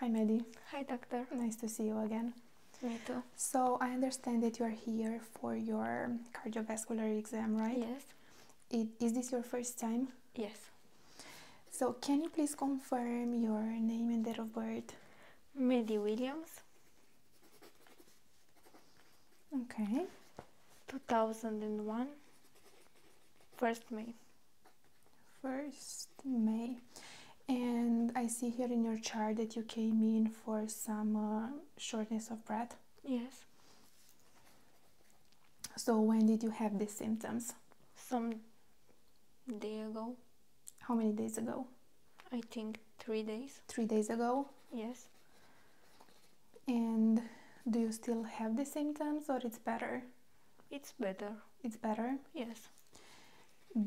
Hi, Meddy. Hi, Doctor. Nice to see you again. Me too. So, I understand that you are here for your cardiovascular exam, right? Yes. Is this your first time? Yes. So, can you please confirm your name and date of birth? Meddy Williams. Okay. 2001, 1st May. 1st May and I see here in your chart that you came in for some uh, shortness of breath. Yes. So when did you have these symptoms? Some day ago. How many days ago? I think 3 days. 3 days ago? Yes. And do you still have the symptoms or it's better? it's better it's better yes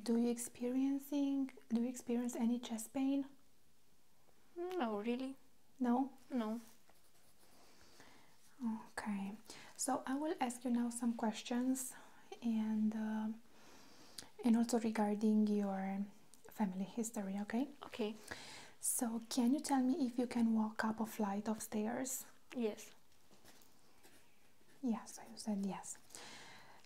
do you experiencing do you experience any chest pain no really no no okay so i will ask you now some questions and uh, and also regarding your family history okay okay so can you tell me if you can walk up a flight of stairs yes Yes, I said yes.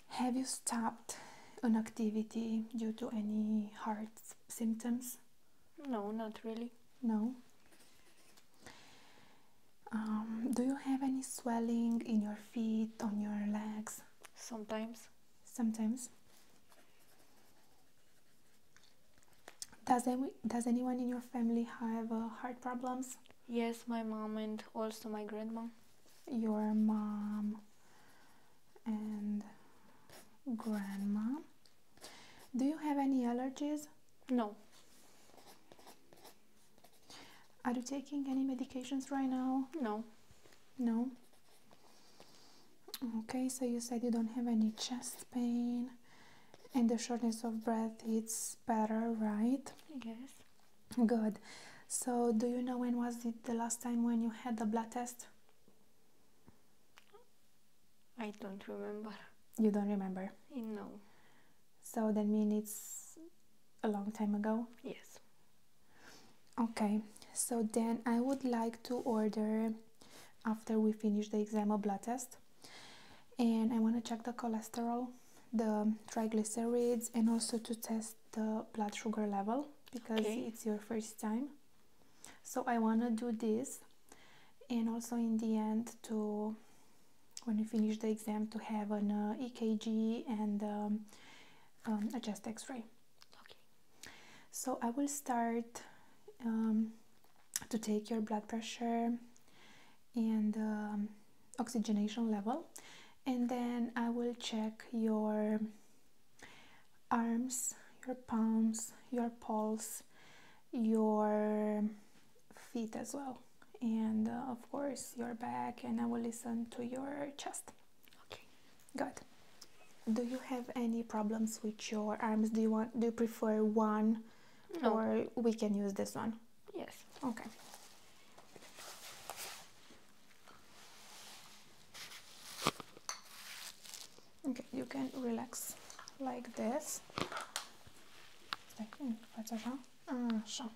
Have you stopped on activity due to any heart symptoms? No, not really. No. Um, do you have any swelling in your feet, on your legs? Sometimes. Sometimes. Does, any, does anyone in your family have uh, heart problems? Yes, my mom and also my grandma. Your mom and grandma. Do you have any allergies? No. Are you taking any medications right now? No. No? Okay, so you said you don't have any chest pain, and the shortness of breath it's better, right? Yes. Good. So, do you know when was it the last time when you had the blood test? I don't remember. You don't remember? Eh, no. So that means it's a long time ago? Yes. Okay, so then I would like to order, after we finish the exam, a blood test and I want to check the cholesterol, the triglycerides, and also to test the blood sugar level because it's your first time. So I want to do this and also in the end to when you finish the exam to have an uh, EKG and um, um, a chest x-ray. Okay. So I will start um, to take your blood pressure and um, oxygenation level and then I will check your arms, your palms, your pulse, your feet as well and uh, of course your back and I will listen to your chest. Okay. Good. Do you have any problems with your arms? Do you want do you prefer one or we can use this one? Yes, okay. Okay, you can relax like this. Stai, faci așa. Așa.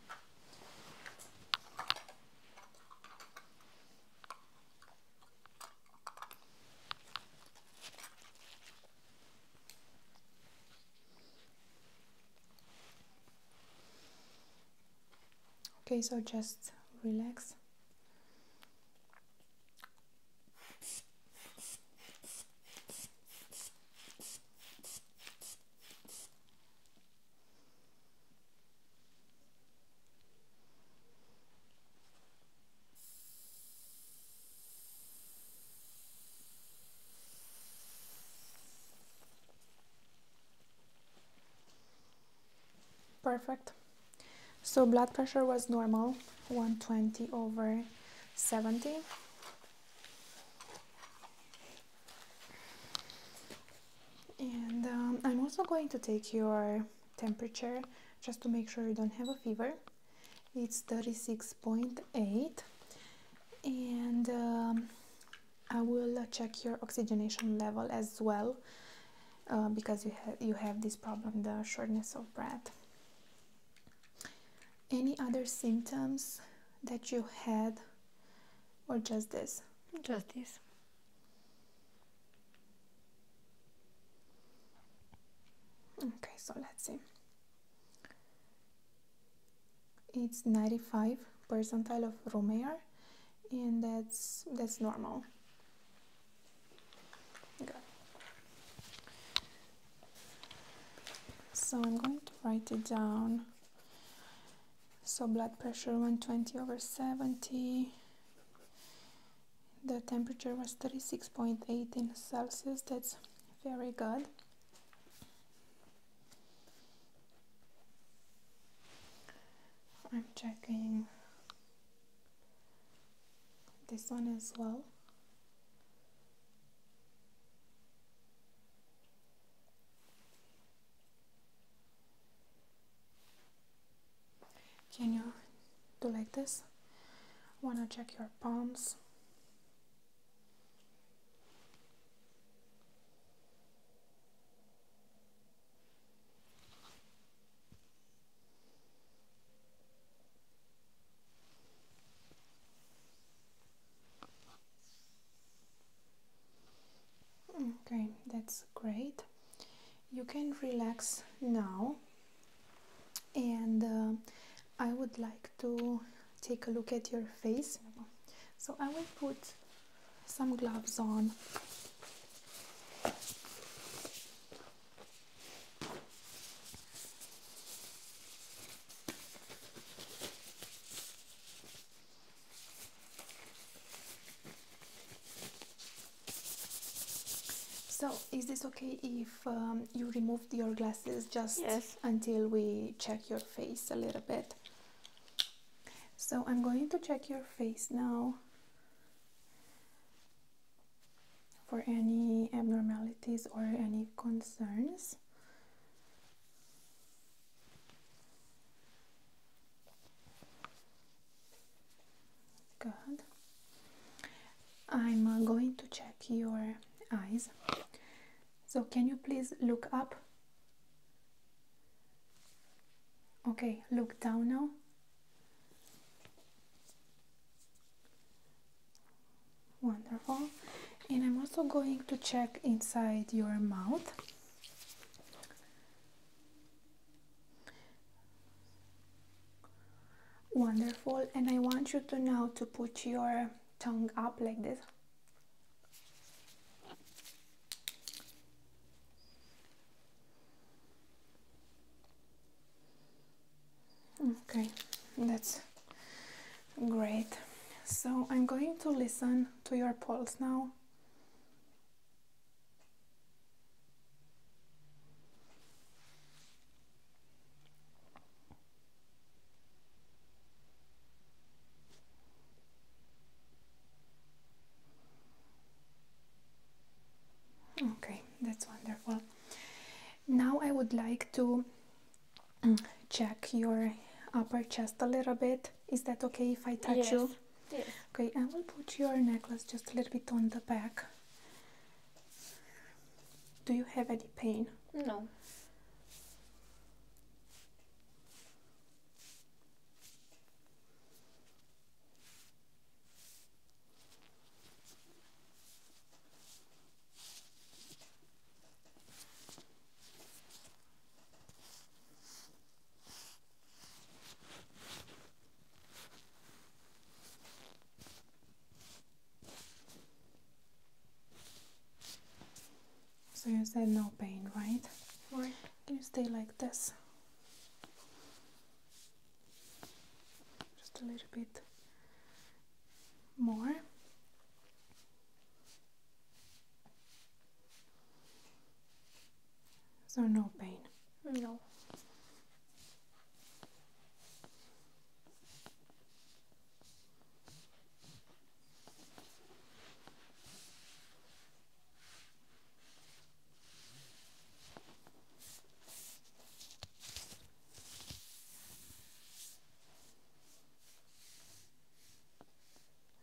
Okay, so just relax. Perfect. So blood pressure was normal, 120 over 70. And um, I'm also going to take your temperature just to make sure you don't have a fever it's 36.8 and um, I will uh, check your oxygenation level as well uh, because you, ha you have this problem, the shortness of breath. Any other symptoms that you had or just this? Just this. Okay, so let's see. It's 95 percentile of room and that's that's normal. So I'm going to write it down. So blood pressure 120 over 70. The temperature was 36.18 Celsius. That's very good. I'm checking this one as well. Can you do like this? Wanna check your palms? Okay, that's great. You can relax now, and uh, I would like to take a look at your face. So I will put some gloves on. So, is this okay if um, you remove your glasses just until we check your face a little bit. So I'm going to check your face now for any abnormalities or any concerns. Good. I'm uh, going to check your eyes. So can you please look up? Okay, look down now. Wonderful. And I'm also going to check inside your mouth. Wonderful. And I want you to now to put your tongue up like this okay that's great so i'm going to listen to your pulse now Okay, that's wonderful. Now I would like to mm, check your upper chest a little bit. Is that okay if I touch you? Yes. Okay, I will put your necklace just a little bit on the back. Do you have any pain? No. So you said no pain, right? Right. You stay like this. Just a little bit more. So no pain? No.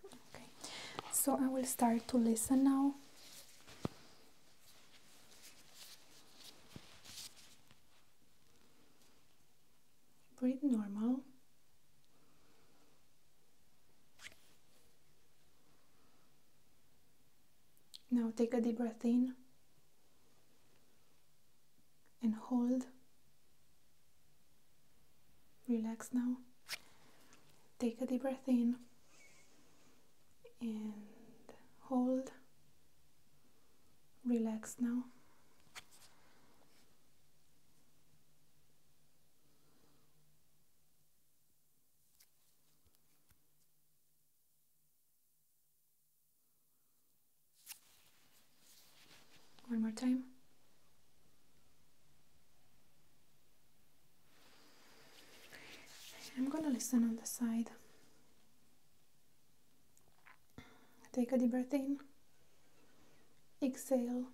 Okay, so I will start to listen now. Breathe normal. Now take a deep breath in and hold. Relax now. Take a deep breath in and hold relax now. One more time. I'm gonna listen on the side. Take a deep breath in, exhale,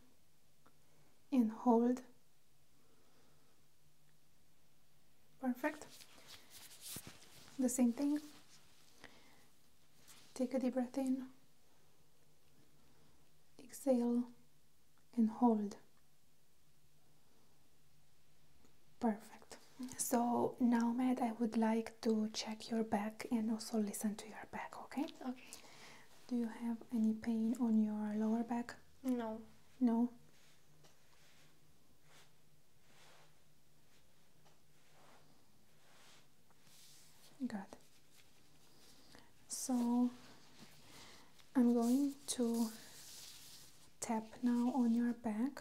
and hold. Perfect. The same thing. Take a deep breath in, exhale, and hold. Perfect. So now, Matt, I would like to check your back and also listen to your back, okay? Okay. Do you have any pain on your lower back? No. No. Good. So I'm going to tap now on your back.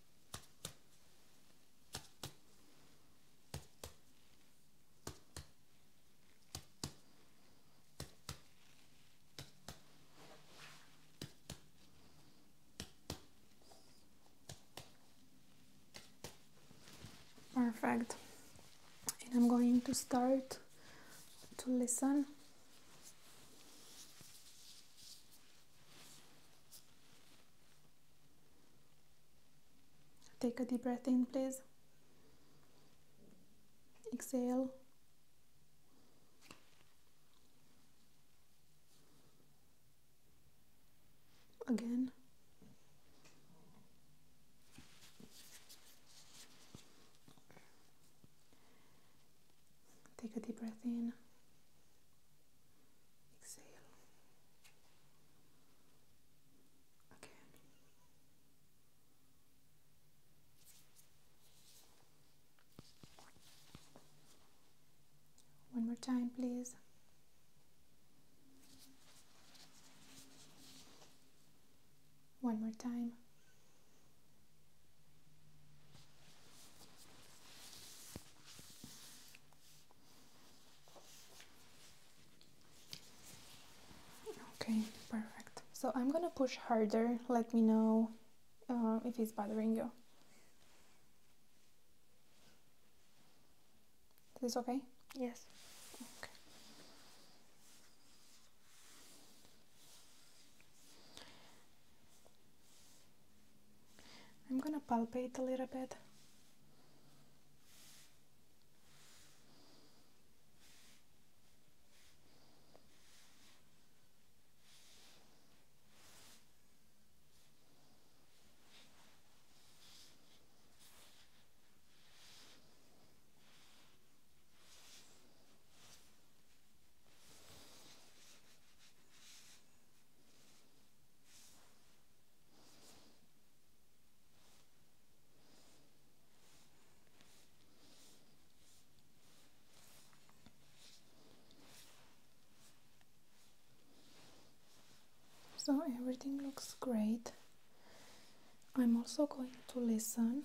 Perfect. And I'm going to start to listen Take a deep breath in, please. Exhale. Again. Take a deep breath in exhale again. One more time, please. One more time. Okay, perfect. So I'm gonna push harder. Let me know uh, if it's bothering you. Is this okay? Yes. I'm gonna palpate a little bit. So everything looks great. I'm also going to listen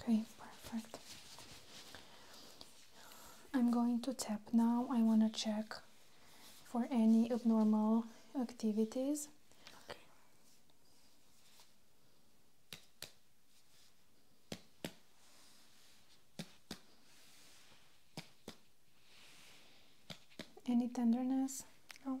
Okay, perfect. I'm going to tap now. I want to check for any abnormal activities. Any tenderness? No.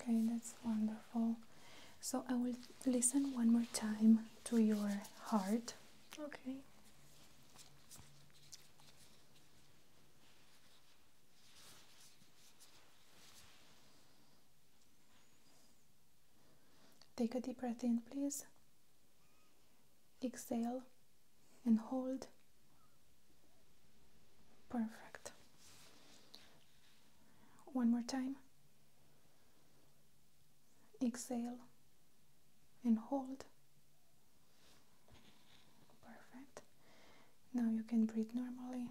Okay, that's wonderful. So I will listen one more time to your heart. Okay. Take a deep breath in, please exhale and hold. Perfect. One more time. Exhale and hold. Perfect. Now you can breathe normally.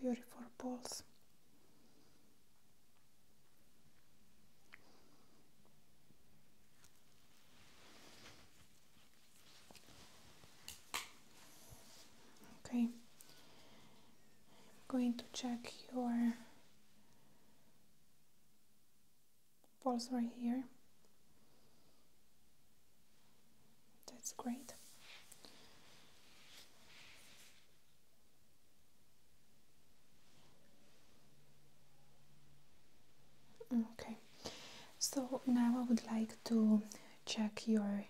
Beautiful balls. Okay, I'm going to check your pulse right here that's great okay so now I would like to check your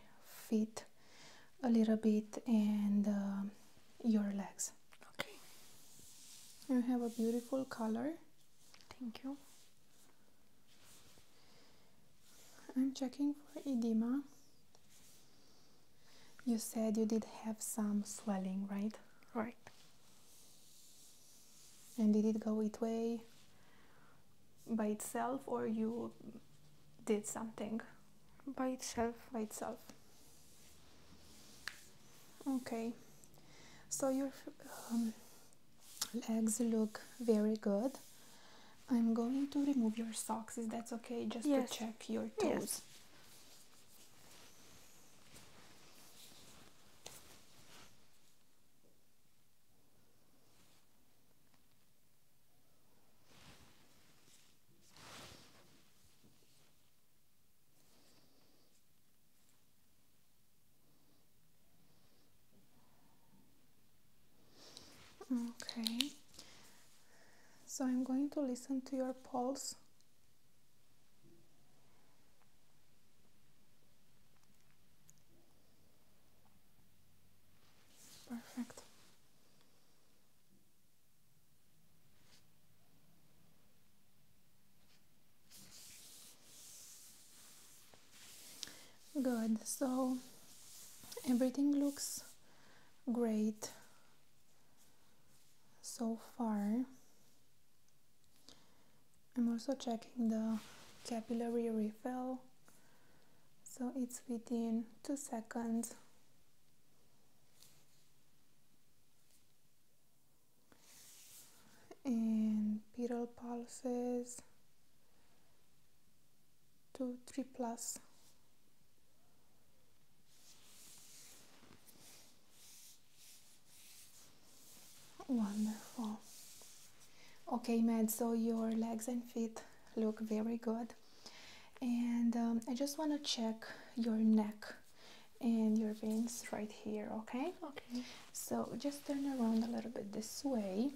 feet a little bit and uh, your legs Okay. You have a beautiful color. Thank you. I'm checking for edema. You said you did have some swelling, right? Right. And did it go away by itself or you did something? by itself by itself okay so your um, legs look very good i'm going to remove your socks is that okay just to check your toes Okay, so I'm going to listen to your pulse. Perfect. Good, so everything looks great so far. I'm also checking the capillary refill, so it's within two seconds and pedal pulses two three plus wonderful okay Matt so your legs and feet look very good and um, I just want to check your neck and your veins right here, okay? Okay. So just turn around a little bit this way.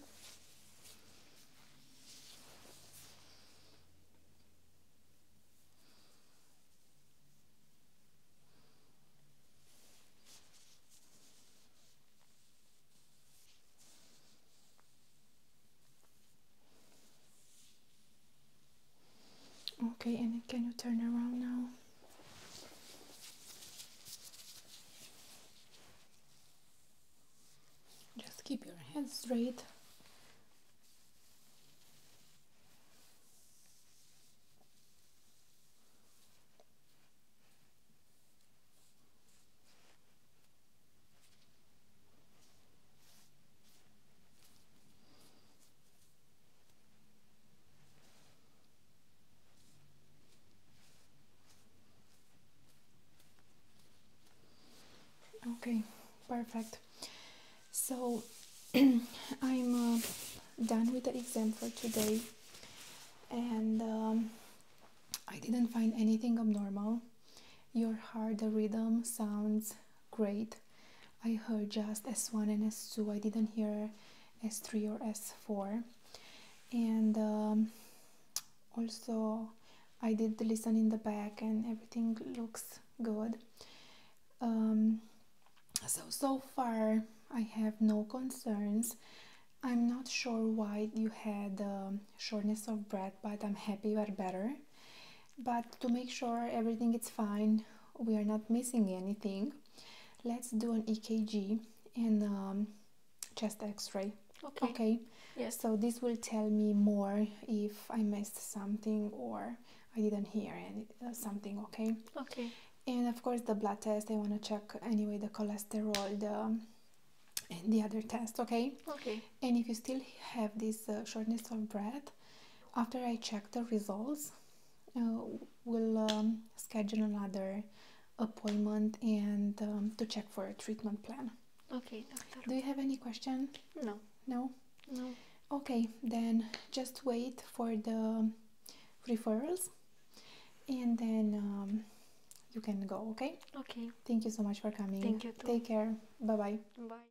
Okay, and can you turn around now? Just keep your head straight. Okay, perfect. So I'm uh, done with the exam for today and um, I didn't find anything abnormal. Your heart, the rhythm, sounds Great. I heard just S1 and S2. I didn't hear S3 or S4. And um, also, I did listen in the back, and everything looks good. Um, so so far, I have no concerns. I'm not sure why you had um, shortness of breath, but I'm happy you are better but to make sure everything is fine we are not missing anything let's do an ekg and um, chest x-ray okay okay yes so this will tell me more if i missed something or i didn't hear any, uh, something okay okay and of course the blood test i want to check anyway the cholesterol the the other test okay okay and if you still have this uh, shortness of breath after i check the results uh, we'll um, schedule another appointment and um, to check for a treatment plan okay do you have any question no no no okay then just wait for the referrals and then um, you can go okay okay thank you so much for coming thank you take care bye bye bye